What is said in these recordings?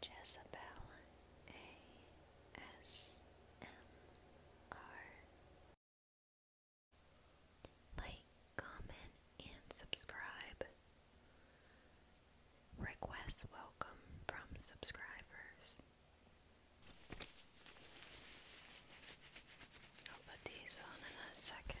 Jezebel ASMR. Like, comment, and subscribe. Requests welcome from subscribers. I'll put these on in a second.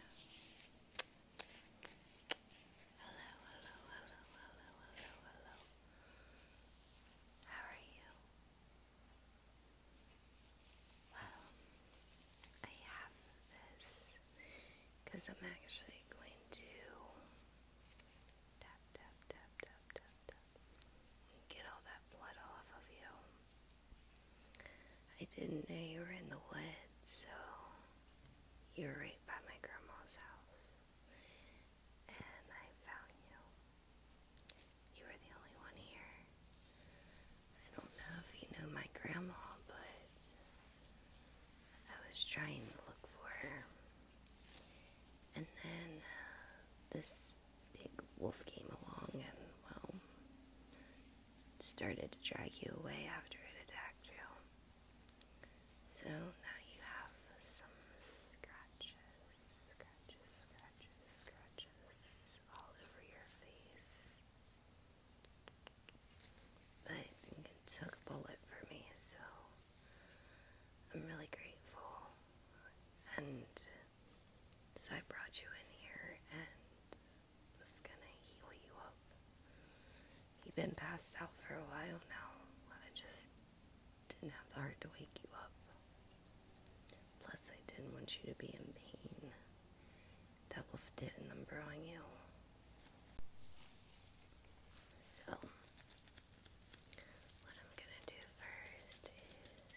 Hello, hello, hello, hello, hello, hello. How are you? Well, I have this because I'm actually going to tap, tap, tap, tap, tap, tap, get all that blood off of you. I didn't know you were in the woods, so you were right by my grandma's house. And I found you. You were the only one here. I don't know if you know my grandma, but I was trying to look for her. And then uh, this big wolf came along, and well, started to drag you away after it attacked you. So now you have some scratches, scratches, scratches, scratches all over your face. But you took a bullet for me, so I'm really grateful. And so I brought you in here and was gonna heal you up. You've been passed out for a while now. I just didn't have the heart to wake you up. Plus, I didn't want you to be in pain. That wolf did a number on you. So, what I'm gonna do first is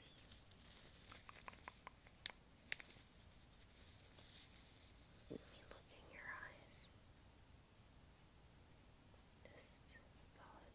let me look in your eyes. Just follow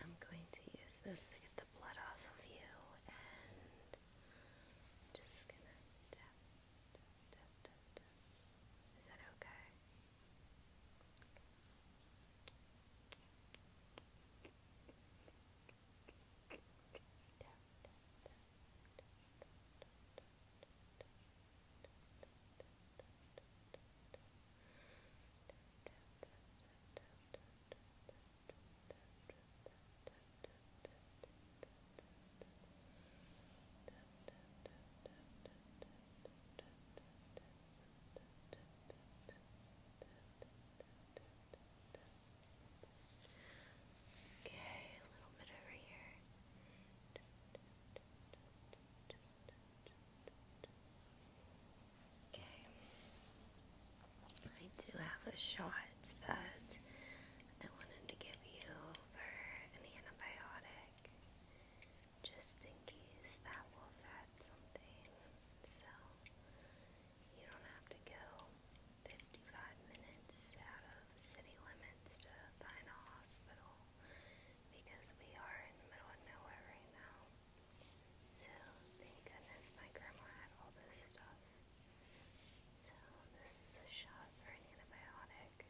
I'm going to use this to get the blood off of you and I'm just gonna tap, tap, tap, Is that okay? Okay, a little bit over here. Okay, Okay. I do have a shot that I wanted to give you for an antibiotic, just in case that wolf had something. So you don't have to go 55 minutes out of city limits to find a hospital because we are in the middle of nowhere right now. So thank goodness my grandma had all this stuff. So this is a shot for an antibiotic.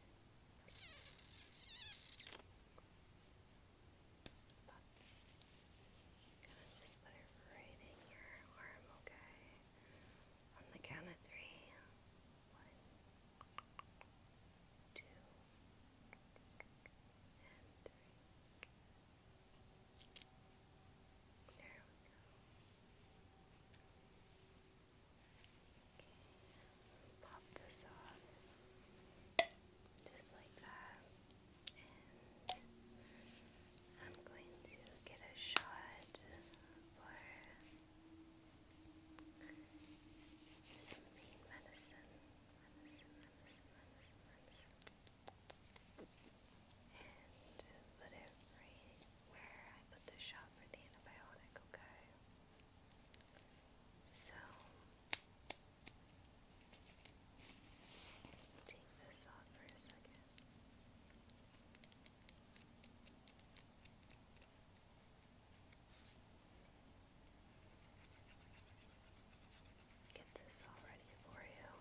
just put it right in your arm, okay? On the count of three. One, there we go. Okay, pop this off just like that, and I'm going to get a shot for some pain medicine. And put where I put the shot for the antibiotic, okay? So, take this off for a second. Get this all ready for you.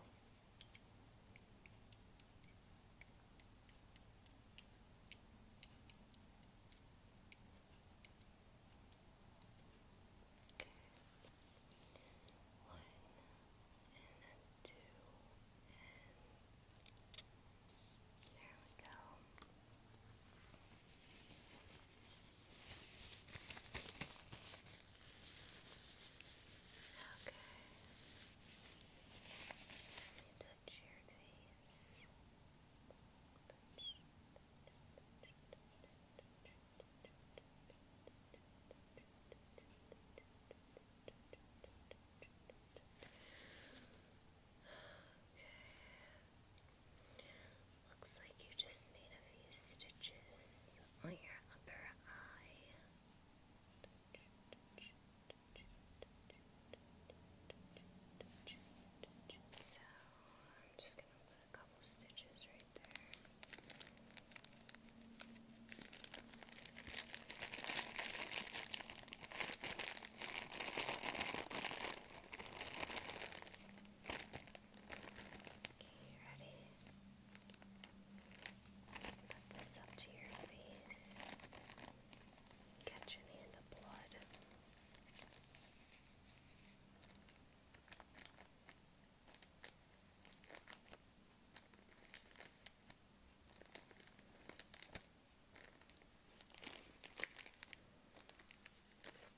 One and two and there we go. You touch your face. Okay. Looks like you just need a few stitches on your upper eye. So I'm just going to put a couple stitches right Okay, ready? Put this up to your face. Catch any of the blood.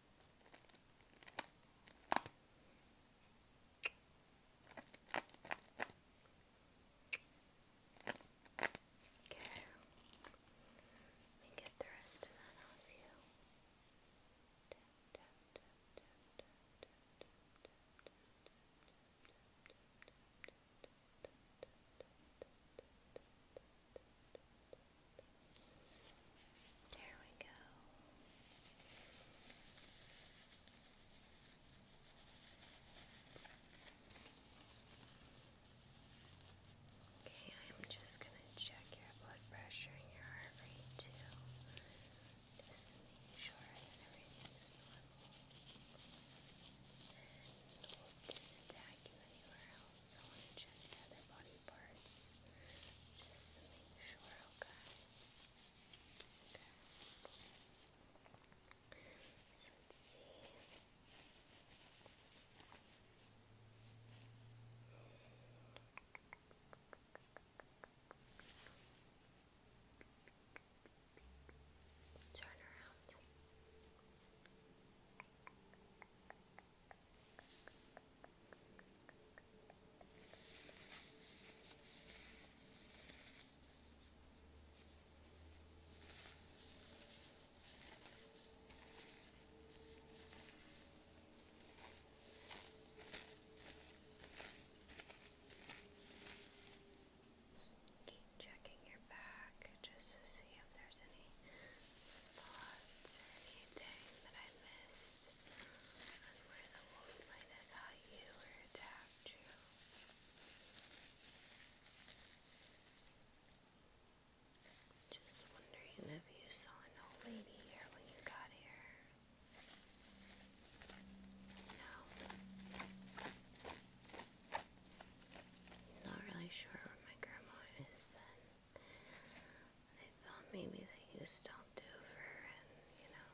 Okay. Let me get the rest of that off you. Okay. There we go. Okay, I'm just going to check your blood pressure and your heart rate too. Just make sure that everything's normal. And we'll not you anywhere else. So I'm check the other body parts just to make sure, okay? Okay. let's see. Turn around. Keep checking your back just to see if there's any spots or anything that I missed on where the wolf might have got you or attacked you. Just wondering if you saw an old lady here when you got here. No. Not really sure what my grandma is then. I thought maybe that you stopped over and, you know,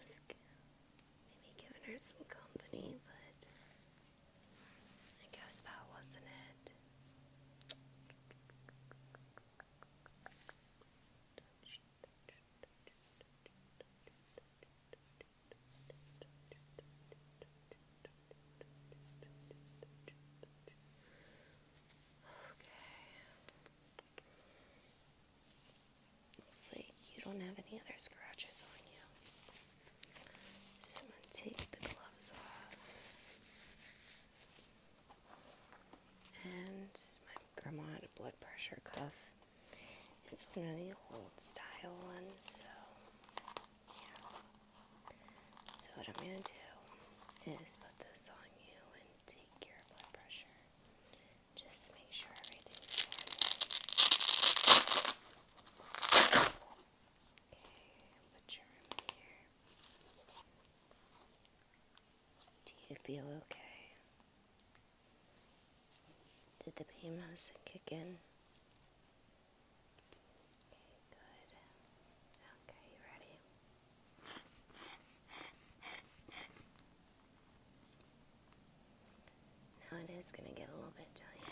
was maybe giving her some company, but I guess that wasn't it. Looks like you don't have any other scratches on you. So going to take the gloves off. And my grandma had a blood pressure cuff. It's one of the old style ones, so so what I'm gonna do is put this on you and take your blood pressure. Just make sure everything's Okay, put your arm here. Do you feel okay? Did the pain medicine kick in? good. Okay, you ready? Now it is going to get a little bit giant. I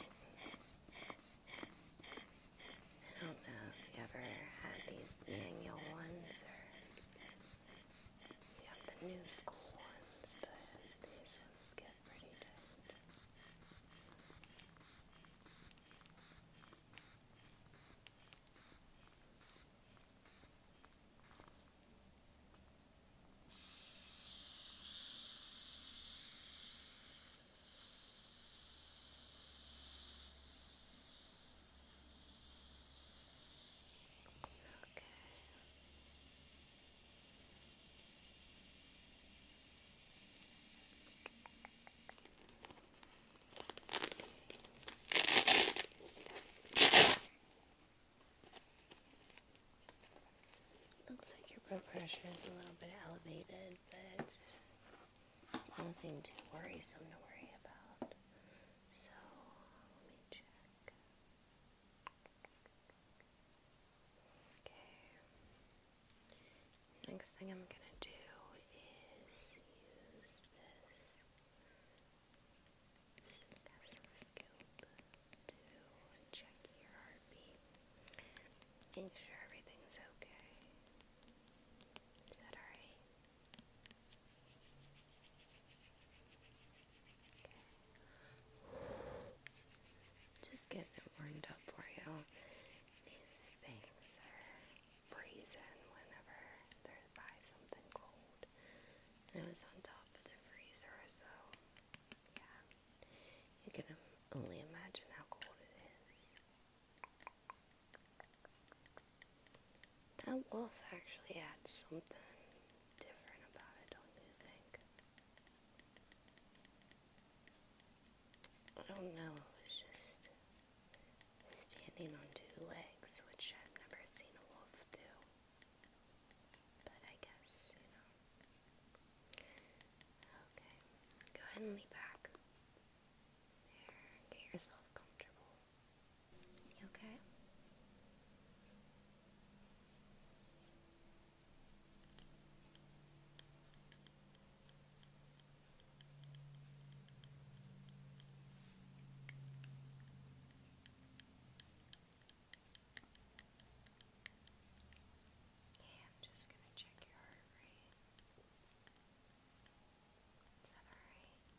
don't know if you ever had these manual ones or you have the new school ones, but these ones get it pretty tight. Okay. Looks like your blood pressure is a little bit elevated, but nothing too worrisome to worry about. So, let me check. Next thing I'm going to do is use this Tesla to check your heartbeat. Make sure everything's okay. Is that alright? Just getting it warmed up for you. These things are freezing whenever they're by something cold. And it was on top of the freezer, so yeah. You can only imagine how cold it is. That wolf actually adds something different about it, don't you think? I don't know, it was just standing on two legs, which I've never seen a wolf do. But I guess, you know. Okay, go ahead and lean back. There, get yourself comfortable. You okay? Okay, I'm just going to check your heart rate. Is that alright? Okay.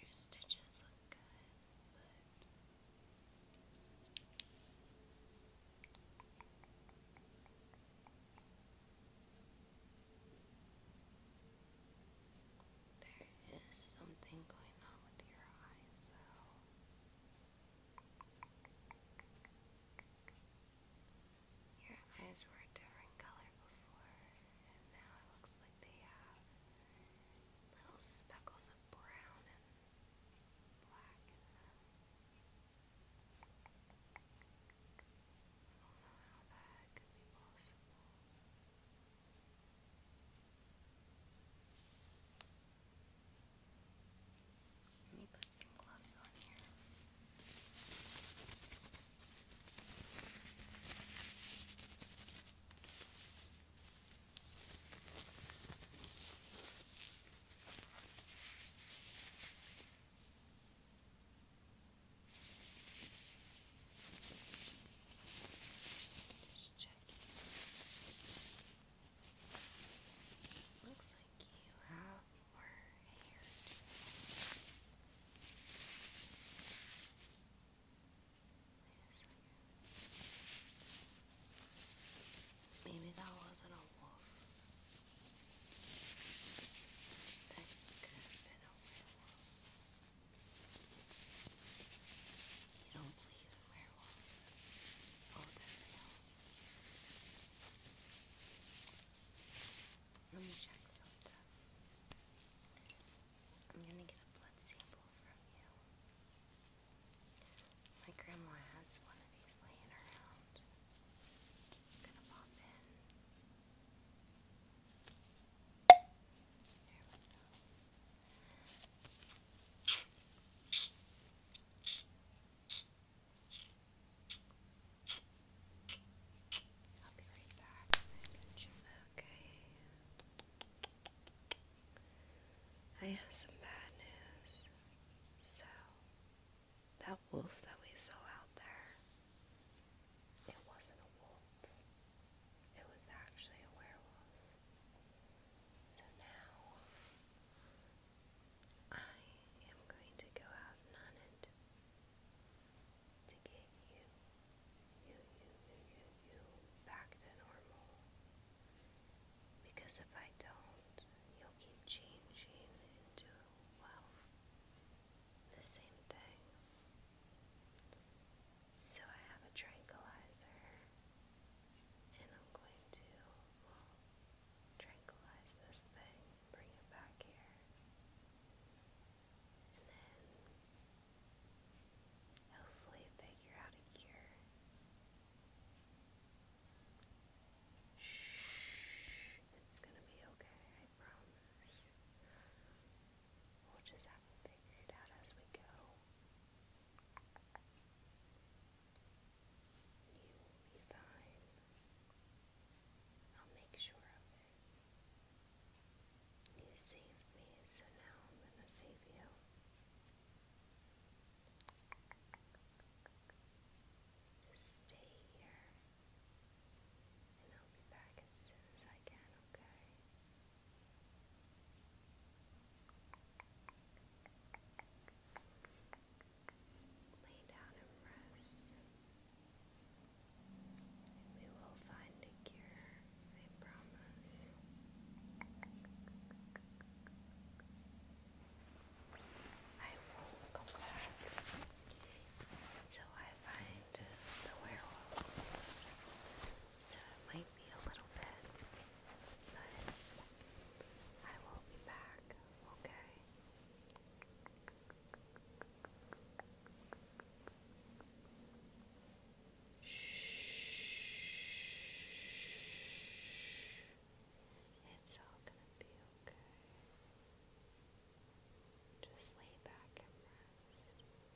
Your stitches look good, but there is something going on with your eyes, Your eyes were a different color before, and now it looks like they have little speckles of brown and black uh, I don't know how that could be possible. Let me put some gloves on here. Just checking. Looks like you have more hair. Too. Maybe that wasn't a wolf. That could have been a werewolf. You don't believe in werewolves? Oh, they're real. Let me check something. I'm going to get a blood sample from you. My grandma has one of these laying around. It's going to pop in. There we go. I'll be right back. I'm going to Okay. I have some bad news. So, that wolf that we saw out there, it wasn't a wolf. It was actually a werewolf. So now, I am going to go out and hunt to get you, you, you, you, you, back to normal. Because if I don't, you'll keep changing into, well, the same thing. So I have a tranquilizer, and I'm going to, tranquilize this thing, bring it back here hopefully figure out a cure. Shh, it's gonna be okay, I promise. We'll just have to figure it out as we go. You will be fine. I'll make sure of it. You saved me, so now I'm going to save you. Just stay here, and I'll be back as soon as I can, okay? Lay down and rest. We will find a cure, I promise. I won't go back so I find the werewolf. So it might be a little bit, but I will be back, okay? Shh. It's all gonna be okay. Just lay back and rest.